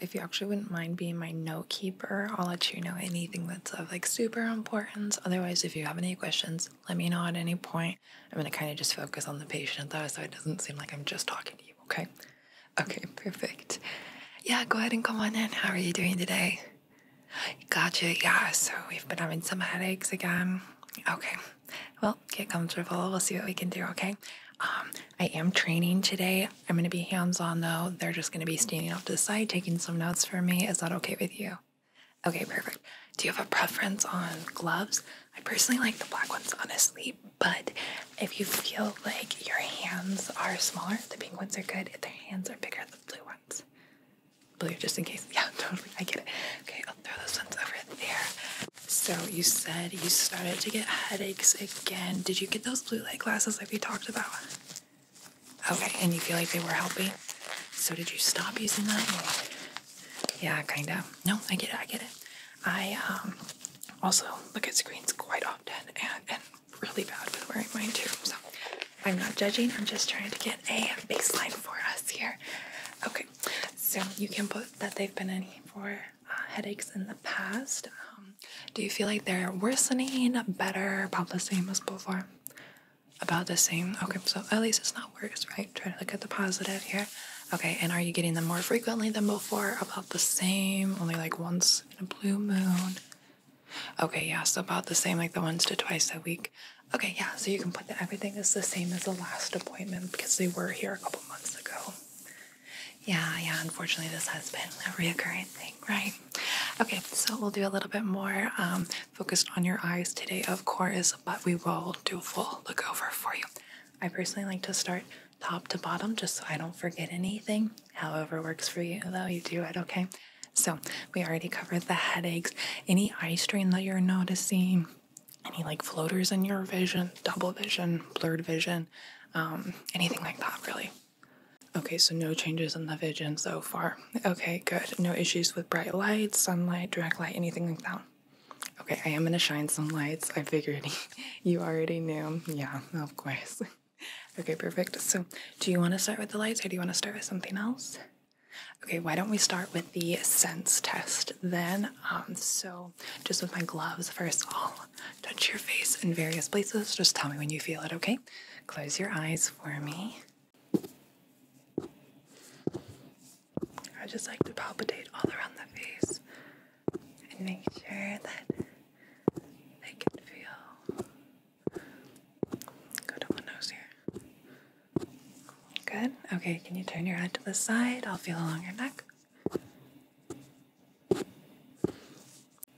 If you actually wouldn't mind being my note keeper, I'll let you know anything that's of like super importance. Otherwise, if you have any questions, let me know at any point. I'm gonna kind of just focus on the patient though, so it doesn't seem like I'm just talking to you, okay? Okay, perfect. Yeah, go ahead and come on in. How are you doing today? Gotcha, yeah, so we've been having some headaches again. Okay, well, get comfortable. We'll see what we can do, okay? Um, I am training today. I'm going to be hands on though. They're just going to be standing off to the side taking some notes for me. Is that okay with you? Okay, perfect. Do you have a preference on gloves? I personally like the black ones, honestly, but if you feel like your hands are smaller, the pink ones are good. If their hands are bigger, the blue ones. Blue, just in case. Yeah, totally. I get it. Okay, I'll throw those ones over there. So you said you started to get headaches again. Did you get those blue light glasses like we talked about? Okay, and you feel like they were helping? So did you stop using that? Yeah, kind of. No, I get it. I get it. I um, also look at screens quite often and, and really bad with wearing mine too. So I'm not judging. I'm just trying to get a baseline for us here. Okay, so you can put that they've been in for uh, headaches in the past? Um, do you feel like they're worsening, better, about the same as before? About the same. Okay, so at least it's not worse, right? Try to look at the positive here. Okay, and are you getting them more frequently than before? About the same, only like once in a blue moon. Okay, yeah, so about the same, like the once to twice a week. Okay, yeah, so you can put that everything is the same as the last appointment because they were here a couple months ago. Yeah, yeah, unfortunately, this has been a reoccurring thing, right? Okay, so we'll do a little bit more um, focused on your eyes today, of course, but we will do a full look over for you. I personally like to start top to bottom just so I don't forget anything. However, works for you, though, you do it, okay? So, we already covered the headaches, any eye strain that you're noticing, any like floaters in your vision, double vision, blurred vision, um, anything like that, really. Okay, so no changes in the vision so far. Okay, good. No issues with bright lights, sunlight, direct light, anything like that. Okay, I am gonna shine some lights. I figured you already knew. Yeah, of course. Okay, perfect. So, do you want to start with the lights or do you want to start with something else? Okay, why don't we start with the sense test then? Um, so, just with my gloves, first I'll touch your face in various places. Just tell me when you feel it, okay? Close your eyes for me. I just like to palpate all around the face and make sure that they can feel. Go to my nose here. Good. Okay, can you turn your head to the side? I'll feel along your neck.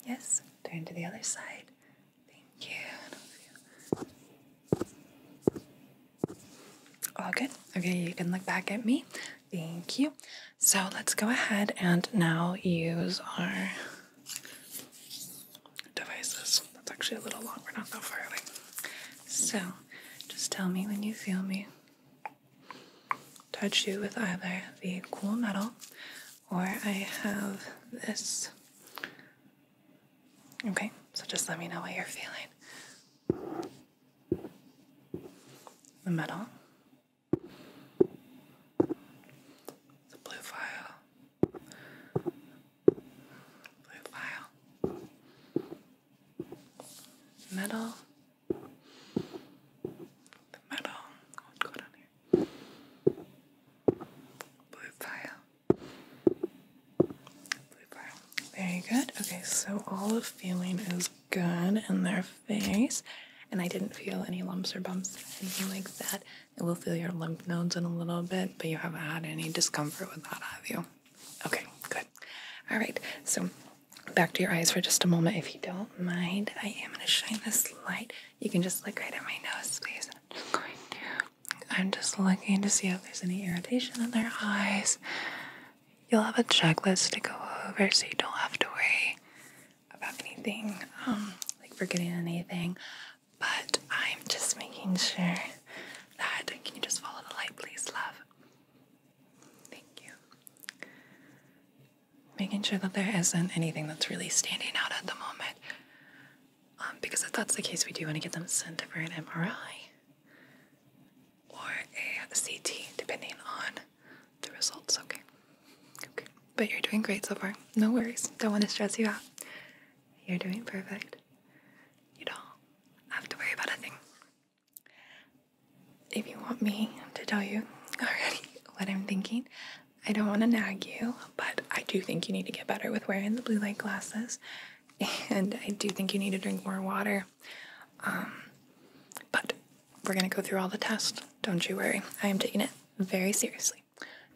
Yes, turn to the other side. Thank you. All good. Okay, you can look back at me. Thank you. So let's go ahead and now use our devices. That's actually a little long. We're not that far away. So just tell me when you feel me touch you with either the cool metal or I have this. Okay, so just let me know what you're feeling. The metal, the blue file, blue file, metal, the metal. Oh, Blue file. Blue file. Very good. Okay, so all of feeling is good in their face. And I didn't feel any lumps or bumps, anything like that. It will feel your lymph nodes in a little bit, but you haven't had any discomfort with that, have you? Okay, good. All right, so back to your eyes for just a moment, if you don't mind. I am going to shine this light you can just look right at my nose, please. I'm just looking to see if there's any irritation in their eyes. You'll have a checklist to go over, so you don't have to worry about anything, um, like forgetting anything. But I'm just making sure that. Can you just follow the light, please, love? Thank you making sure that there isn't anything that's really standing out at the moment. Um, because if that's the case, we do want to get them sent for an MRI or a CT, depending on the results. Okay. Okay. But you're doing great so far. No worries. Don't want to stress you out. You're doing perfect. You don't have to worry about a thing. If you want me to tell you already what I'm thinking, I don't want to nag you, but I do think you need to get better with wearing the blue light glasses, and I do think you need to drink more water. Um, but we're gonna go through all the tests. Don't you worry. I am taking it very seriously.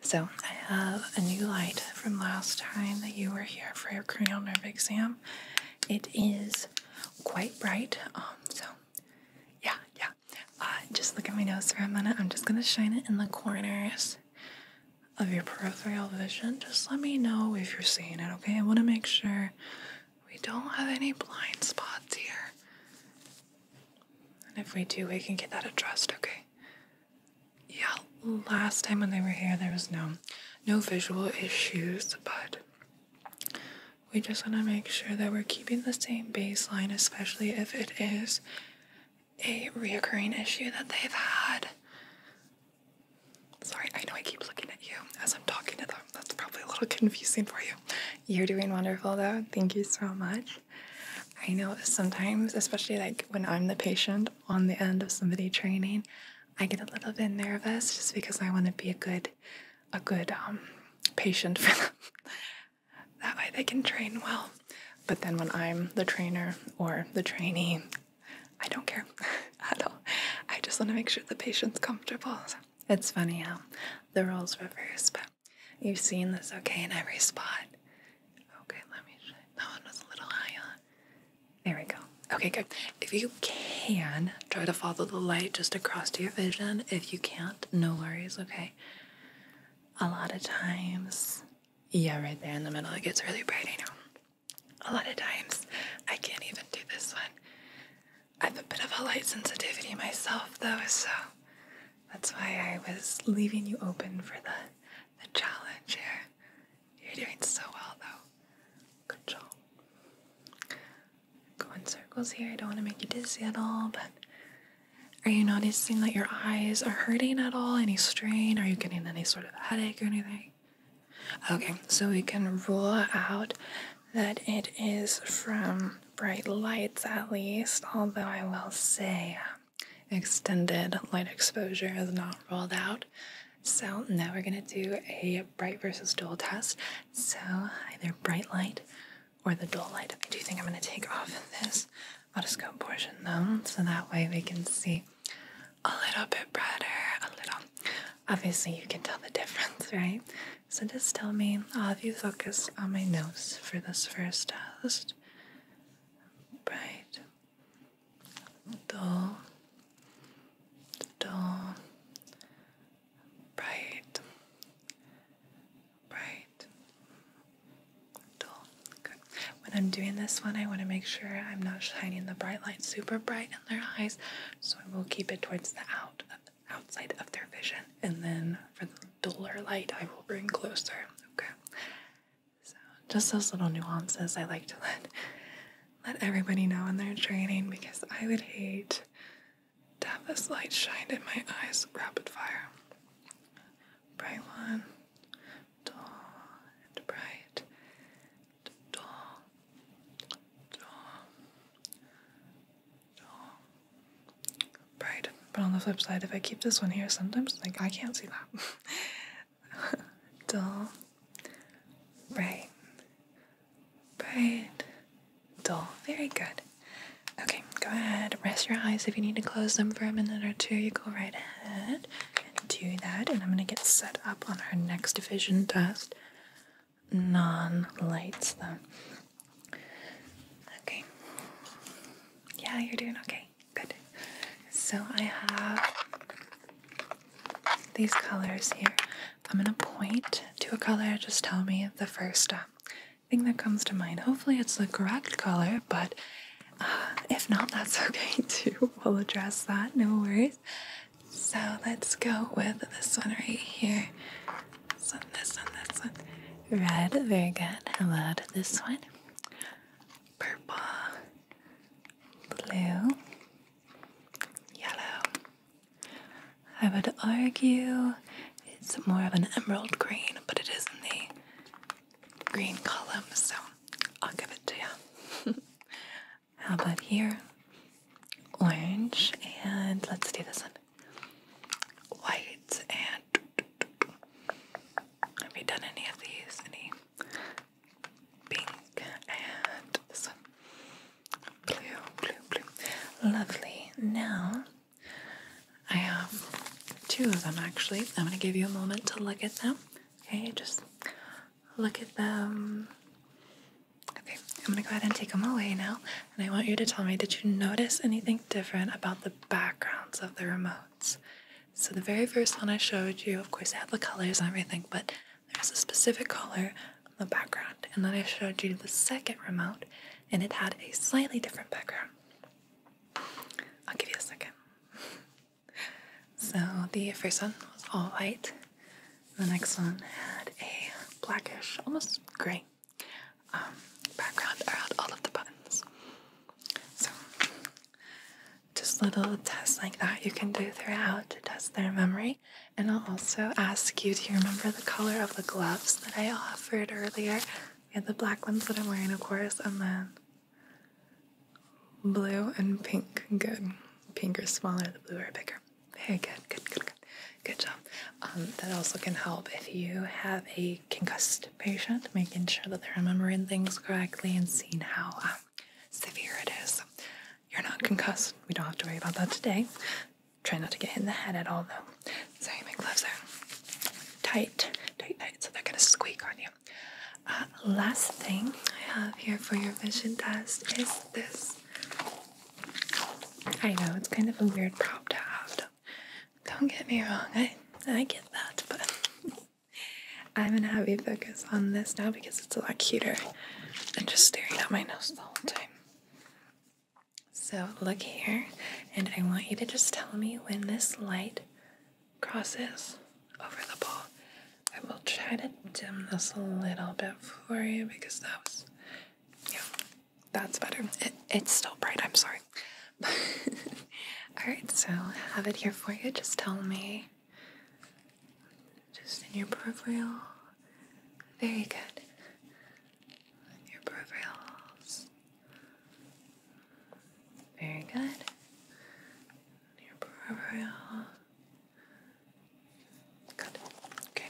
So I have a new light from last time that you were here for your cranial nerve exam. It is quite bright, um, so yeah, yeah. Uh, just look at my nose for a minute. I'm just gonna shine it in the corners of your peripheral vision. Just let me know if you're seeing it, okay? I wanna make sure we don't have any blind spots here. And if we do, we can get that addressed, okay? Yeah, last time when they were here, there was no no visual issues, but we just want to make sure that we're keeping the same baseline, especially if it is a reoccurring issue that they've had. Sorry, I know I keep looking at you as I'm talking to them. That's probably a little confusing for you. You're doing wonderful though. Thank you so much. I know sometimes, especially like when I'm the patient on the end of somebody training, I get a little bit nervous just because I want to be a good a good um, patient for them. That way they can train well. But then when I'm the trainer or the trainee, I don't care at all. I just want to make sure the patient's comfortable. it's funny how the roles reverse, but you've seen this okay in every spot. Okay, let me That one was a little high on. There we go. Okay, good. If you can, try to follow the light just across to your vision. If you can't, no worries, okay? a lot of times, yeah, right there in the middle, it gets really bright. I know. A lot of times, I can't even do this one. I have a bit of a light sensitivity myself, though, so that's why I was leaving you open for the the challenge here. You're doing so well, though. Good job. Going circles here. I don't want to make you dizzy at all, but are you noticing that your eyes are hurting at all? Any strain? Are you getting any sort of headache or anything? Okay, so we can rule out that it is from bright lights at least, although I will say um, extended light exposure is not ruled out. So now we're going to do a bright versus dull test. So either bright light or the dull light. I do think I'm going to take off this otoscope portion though, so that way we can see a little bit brighter, a little. Obviously, you can tell the difference, right? So just tell me, All of you focus on my nose for this first test. Bright, dull, dull, bright, Right. Dull. Good. When I'm doing this one, I want to make sure I'm not shining the bright light super bright in their eyes, so I will keep it towards the out outside of their vision, and then for the duller light, I will bring closer. Okay. So just those little nuances I like to let let everybody know in their training because I would hate Tavis light shined in my eyes rapid fire. Bright one, and bright, tall, tall, tall, bright. But on the flip side, if I keep this one here, sometimes like I can't see that. dull, bright, bright, dull. Very good. Okay, go ahead. Rest your eyes. If you need to close them for a minute or two, you go right ahead and do that. And I'm going to get set up on our next vision test. Non lights, though. Okay. Yeah, you're doing okay. Good. So I have these colors here. I'm going to point to a color. Just tell me the first uh, thing that comes to mind. Hopefully, it's the correct color, but uh, if not, that's okay too. We'll address that, no worries. So, let's go with this one right here. This one, this one, this one. Red, very good. Hello to this one. Purple, blue, yellow. I would argue it's more of an emerald green, but it is in the green column, so I'll give it to you. How about here? Orange, and let's do this one. White, and have you done any of these? Any pink, and this one. Blue, blue, blue. Lovely. Now, I have two of them actually. I'm going to give you a moment to look at them. Okay, just look at them. Okay, I'm going to go ahead and take them away now. And I want you to tell me did you notice anything different about the backgrounds of the remotes? So, the very first one I showed you, of course, had the colors and everything, but there was a specific color on the background. And then I showed you the second remote, and it had a slightly different background. I'll give you a second. so the first one was all white. The next one had a blackish, almost gray um, background around all of the buttons. So just little tests like that you can do throughout to test their memory. And I'll also ask you to remember the color of the gloves that I offered earlier yeah, the black ones that I'm wearing, of course, and then blue and pink. Good. Pink is smaller, the blue are bigger. Very good, good, good, good. job. Um, that also can help if you have a concussed patient, making sure that they're remembering things correctly and seeing how um, severe it is. You're not concussed. We don't have to worry about that today. Try not to get in the head at all, though. So my gloves are tight, tight, tight, so they're gonna squeak on you. Uh, last thing I have here for your vision test is this. I know it's kind of a weird prop to have. Don't, get me wrong. I I get that, but I'm in to have focus on this now because it's a lot cuter than just staring at my nose the whole time. So look here, and I want you to just tell me when this light crosses over the ball. I will try to dim this a little bit for you because that was, yeah, that's better. It, it's still bright, I'm sorry. Alright, so I have it here for you. Just tell me, just in your peripheral. Very good. Your peripherals. Very good. Your brow. Good. Okay.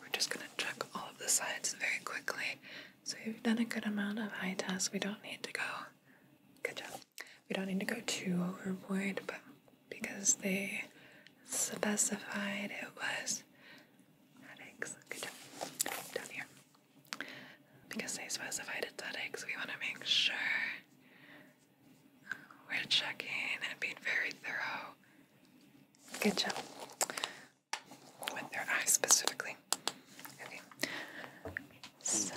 We're just gonna check all of the sides very quickly. So we have done a good amount of eye tests. We don't need to go. Good job. We don't need to go too overboard, but because they specified it was headaches. Good job. Down here. Because they specified aesthetics, we want to make sure we're checking and being very thorough. Good job. With their eyes specifically. Okay. So,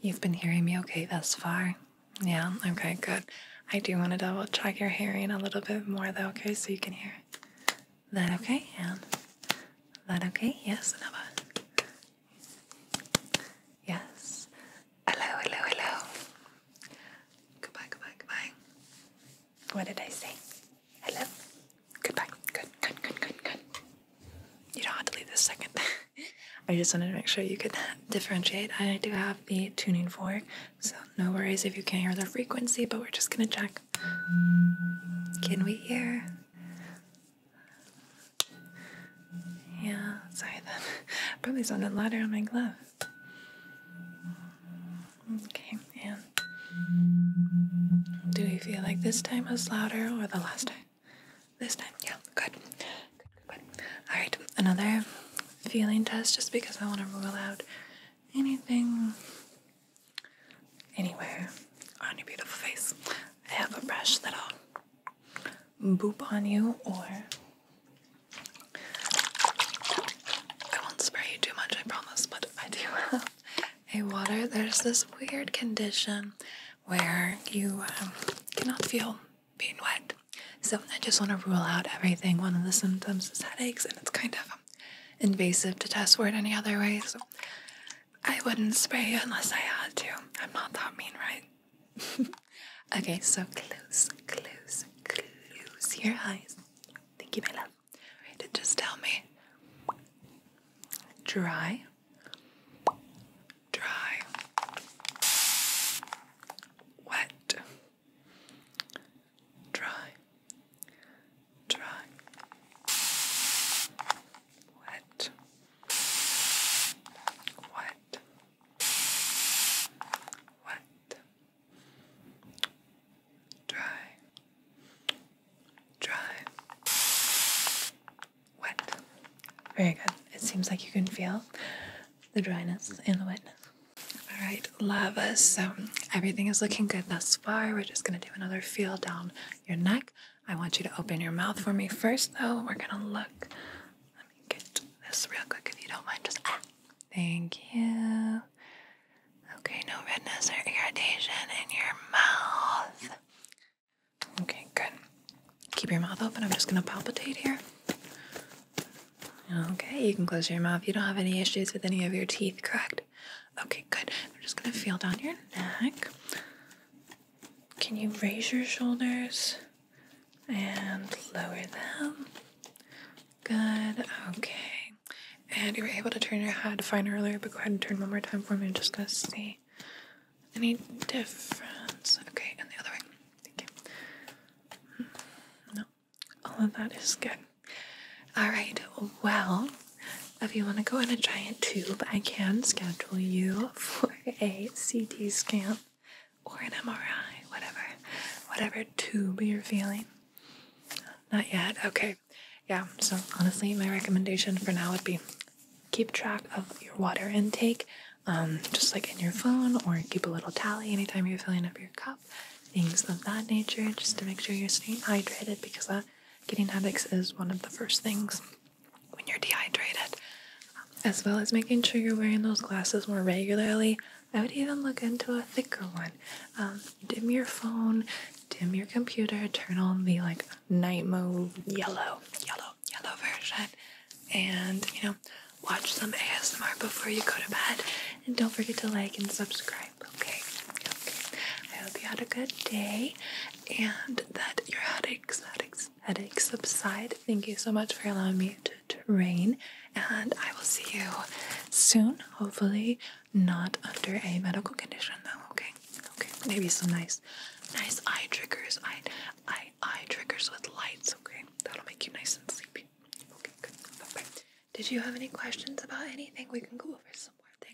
you've been hearing me okay thus far? Yeah, okay, good. I do want to double check your hearing a little bit more though, okay, so you can hear that okay? And that okay? Yes, another. Yes. Hello, hello, hello. Goodbye, goodbye, goodbye. What did I say? Hello? Goodbye. Good, good, good, good, good. You don't have to leave this second. I just wanted to make sure you could differentiate. I do have the tuning fork, so no worries if you can't hear the frequency, but we're just gonna check. Can we every Yeah, sorry that probably sounded louder on my glove. Okay, and do we feel like this time was louder or the last time? This time, yeah, good. Good, good, good. All right, another feeling test just because I want to rule out anything Anywhere on your beautiful face, I have a brush that'll boop on you, or I won't spray you too much, I promise, but I do have a water. There's this weird condition where you um, cannot feel being wet. So I just want to rule out everything. One of the symptoms is headaches, and it's kind of invasive to test for it any other way. I wouldn't spray you unless I had to. I'm not that mean, right? okay, so close, close, close your eyes. Thank you, my love. just tell me. Dry. Dry. Wet. Dry dry, wet, wet, wet, dry, dry, wet. Very good. It seems like you can feel the dryness and the wetness. All right, lava. So everything is looking good thus far. We're just going to do another feel down your neck. I want you to open your mouth for me first, though. We're gonna look. Let me get this real quick if you don't mind. Just ah. thank you. Okay, no redness or irritation in your mouth. Okay, good. Keep your mouth open. I'm just gonna palpitate here. Okay, you can close your mouth. You don't have any issues with any of your teeth, correct? Okay, good. I'm just gonna feel down your neck. Can you raise your shoulders and lower them? Good. Okay. And you were able to turn your head fine earlier, but go ahead and turn one more time for me. I'm just gonna see any difference. Okay, and the other way. Thank you. Hmm, no, all of that is good. All right. Well, if you want to go in a giant tube, I can schedule you for a CT scan or an MRI, whatever, whatever tube you're feeling. Not yet. Okay. Yeah. So honestly, my recommendation for now would be keep track of your water intake, um, just like in your phone, or keep a little tally anytime you're filling up your cup, things of that nature, just to make sure you're staying hydrated because that Getting headaches is one of the first things when you're dehydrated, as well as making sure you're wearing those glasses more regularly. I would even look into a thicker one. Um, dim your phone, dim your computer, turn on the like night mode yellow, yellow, yellow version, and you know, watch some ASMR before you go to bed. And don't forget to like and subscribe Okay. Okay. I hope you had a good day and that your headaches, headaches, headaches subside. Thank you so much for allowing me to train. And I will see you soon. Hopefully, not under a medical condition though. Okay. Okay. Maybe some nice, nice eye triggers. Eye, eye, eye triggers with lights. Okay. That'll make you nice and sleepy. Okay. Good. Bye Did you have any questions about anything? We can go over some more things.